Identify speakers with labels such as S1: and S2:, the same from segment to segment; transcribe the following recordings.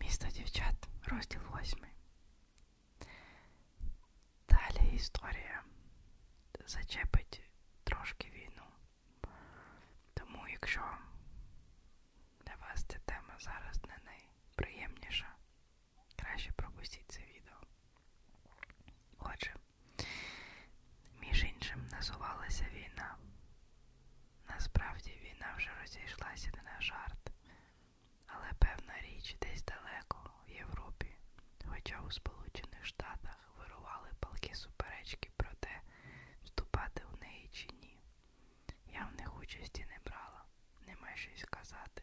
S1: Місто дівчат, розділ восьмий. Далі історія зачепить трошки війну. Тому якщо для вас ця тема зараз не найприємніша, краще пропустіть це відео. Отже, між іншим називалася війна Насправді війна вже розійшлася не на жарт, але певна річ десь далеко, в Європі, хоча у Сполучених Штатах вирували палки суперечки про те, вступати в неї чи ні. Я в них участі не брала, нема щось сказати.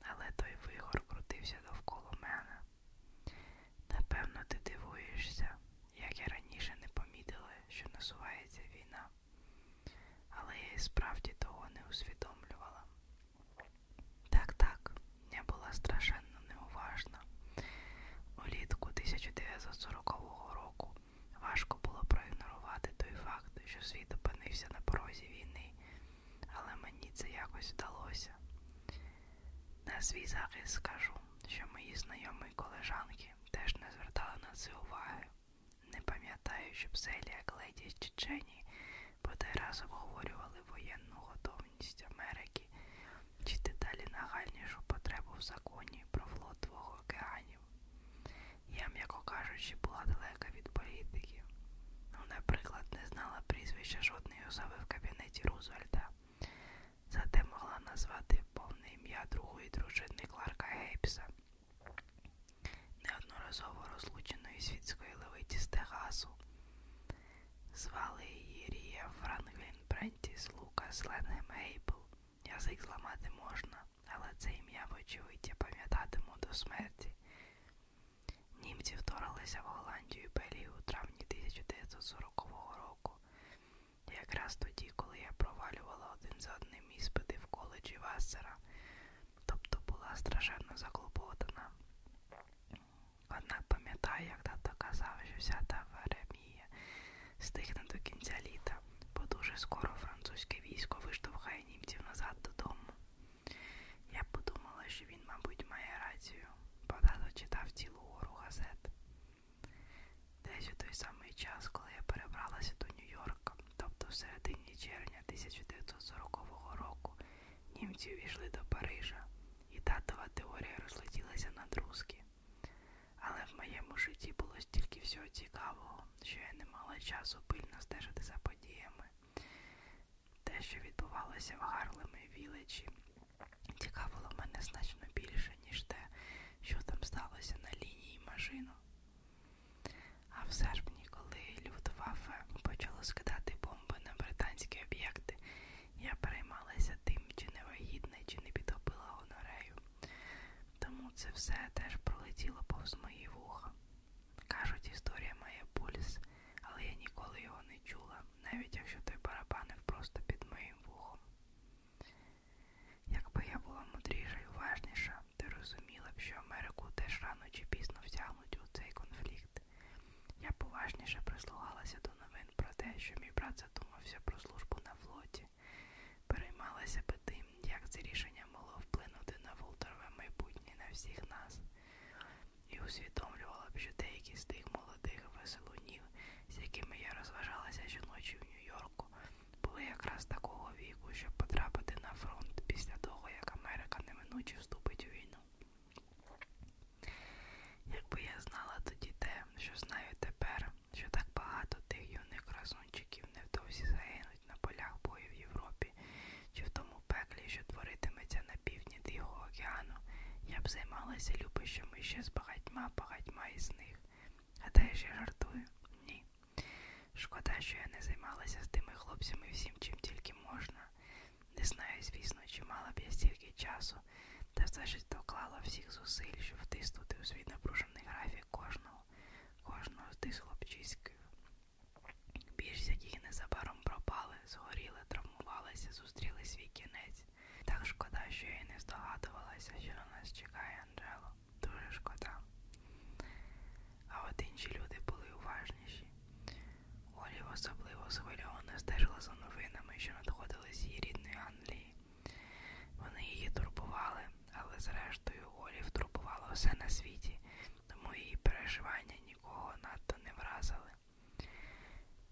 S1: Але той вигор крутився довкола мене. Напевно, ти дивуєшся, як я раніше не помітила, що насувається війна, але я і справді того не усвідомлювала. Так, так, я була страшенно неуважна. Улітку 1940 року важко було проігнорувати той факт, що світ опинився на порозі війни, але мені це якось вдалося. На свій захист скажу, що мої знайомі колежанки теж не звертала на це уваги. Не пам'ятаю, щоб Селія Кледі з Чечені бодай раз обговорювали воєнну готовність Америки чи дедалі нагальнішу потребу в законі про флот двох океанів. Я, м'яко кажучи, була далека від політики. Ну, наприклад, не знала прізвища жодної особи в кабінеті Рузвельта – Зате могла назвати повне ім'я другої дружини Кларка Гейбса, неодноразово розлученої світської левиті з Техасу. Звали її Рія Франклін Брентіс Лукас Ленгем Гейбл. Язик зламати можна, але це ім'я вочевидь я пам'ятатиму до смерті. Німці вторглися в Голландію і Белію у травні 1940 року. Якраз тоді, коли я провалювала один за одним іспити в коледжі Вассера, тобто була страшенно заклопотана. Однак пам'ятаю, як тато казав, що вся та веремія стигне до кінця літа, бо дуже скоро французьке військо виштовхає німців назад додому. Я подумала, що він, мабуть, має рацію, бо тато читав цілу гору газет. Десь у той самий час, коли я перебралася до Нью-Йорка, тобто в середині червня 1940 року, німці увійшли до Парижа, і татова теорія розлетілася на друзки. Але в моєму житті було стільки всього цікавого, що я не мала часу пильно стежити за подіями. Те, що відбувалося в Гарлеми Вілечі, Цікавило мене значно більше, ніж те, що там сталося на лінії Мажину. А в серпні, коли Люфтваффе почало скидати бомби на британські об'єкти, я переймалася тим, чи не вагітна, чи не підтопила гонорею. Тому це все теж пролетіло повз мої вуха. Кажуть, історія має пульс, але я ніколи його не чула навіть якщо той барабанив просто під моїм вухом. Якби я була мудріша і уважніша, ти розуміла б, що Америку теж рано чи пізно втягнуть у цей конфлікт. Я поважніше прислухалася до новин про те, що мій брат задумався про службу на флоті, переймалася би тим, як це рішення могло вплинути на волтерове майбутнє на всіх нас і усвідомлювала б, що деякі з тих молодих веселунів, з якими я розважалася щоночі в Нью-Йорку, були якраз такого віку, щоб потрапити на фронт після того, як Америка неминуче вступить у війну. Якби я знала тоді те, що знаю тепер, що так багато тих юних красунчиків невдовзі загинуть на полях бою в Європі, чи в тому пеклі, що творитиметься місця на півдні Тихого океану, я б займалася любищами ще з багатьма багатьма із них. Гадаєш, я жартую? Ні. Шкода, що я не займалася з тими хлопцями всім, чим тільки можна. Не знаю, звісно, чи мала б я стільки часу, та все ж доклала всіх зусиль, щоб втиснути у свій напружений графік кожного, кожного з тих хлопчиськів. Більшість яких незабаром пропали помирали, згоріли, травмувалися, зустріли свій кінець. Так шкода, що я й не здогадувалася, що на нас чекає Анджело. Дуже шкода. А от інші люди були уважніші. Олів особливо схвильовано стежила за новинами, що надходили з її рідної Англії. Вони її турбували, але зрештою Олів турбувала все на світі, тому її переживання нікого надто не вразили.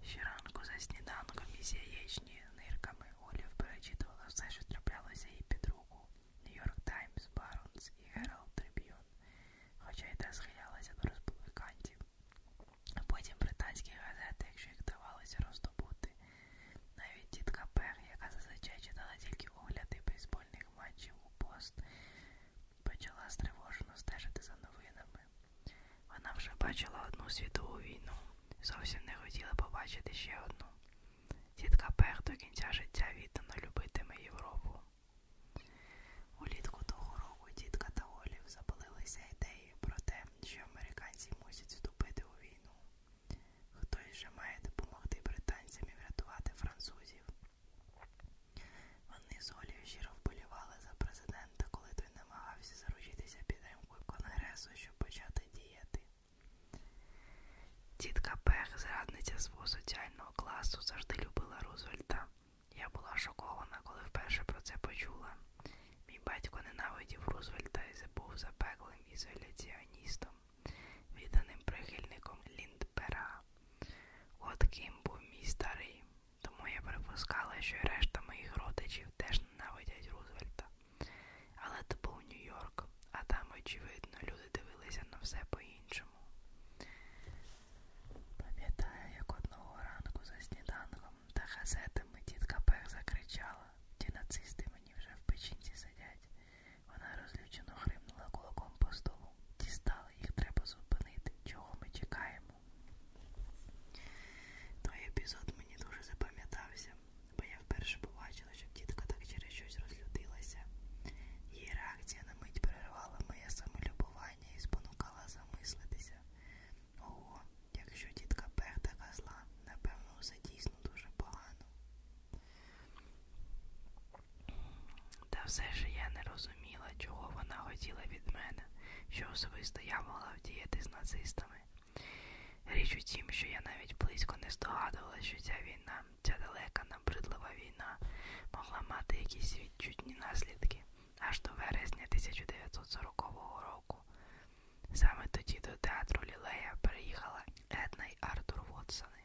S1: Щоранку за сніданком із яєчні нирками Олів перечитувала все, що траплялося їй під руку. Нью-Йорк Таймс, Баронс і Гералд Триб'юн, хоча й те схилялася до республіканців. А потім британські газети, якщо їх давалося роздобути. Навіть тітка Пех, яка зазвичай читала тільки огляди бейсбольних матчів у пост, почала стривожено стежити за новинами. Вона вже бачила одну світову війну, зовсім не хотіла побачити ще одну. Тітка Пех до кінця життя віддано любитиме Європу. Улітку того року тітка та Олів запалилися ідеєю про те, що американці мусять вступити у війну. Хтось же має допомогти британцям і врятувати французів. Вони з Олею щиро вболівали за президента, коли той намагався заручитися підтримкою Конгресу, щоб почати діяти. Тітка Пех, зрадниця свого соціального класу, завжди любила Рузвельта. Я була шокована, коли вперше про це почула. Мій батько ненавидів Рузвельта і був запеклим ізоляціоністом, відданим прихильником Ліндбера. От ким був мій старий, тому я припускала, що й решта моїх родичів теж ненавидять Рузвельта. Але то був Нью-Йорк, а там, очевидно, люди дивилися на все по-іншому. Пам'ятаю, як одного ранку за сніданком та газетами тітка Пех закричала, ті нацисти мені вже в печінці сидять. Вона розлючено хримнула кулаком по столу дістали, їх треба зупинити. Чого ми чекаємо? Той епізод мені дуже запам'ятався, бо я вперше побачила, що тітка так через щось розлютилася. Її реакція на мить перервала моє самолюбування і спонукала замислитися. Ого, якщо тітка Пех така зла, напевно, усе дійсно дуже погано. Та все ж я не розуміла, чого вона хотіла від мене, що особисто я могла вдіяти з нацистами. Річ у тім, що я навіть близько не здогадувала, що ця війна, ця далека набридлива війна, могла мати якісь відчутні наслідки аж до вересня 1940 року. Саме тоді до театру Лілея переїхала Една й Артур Вотсони.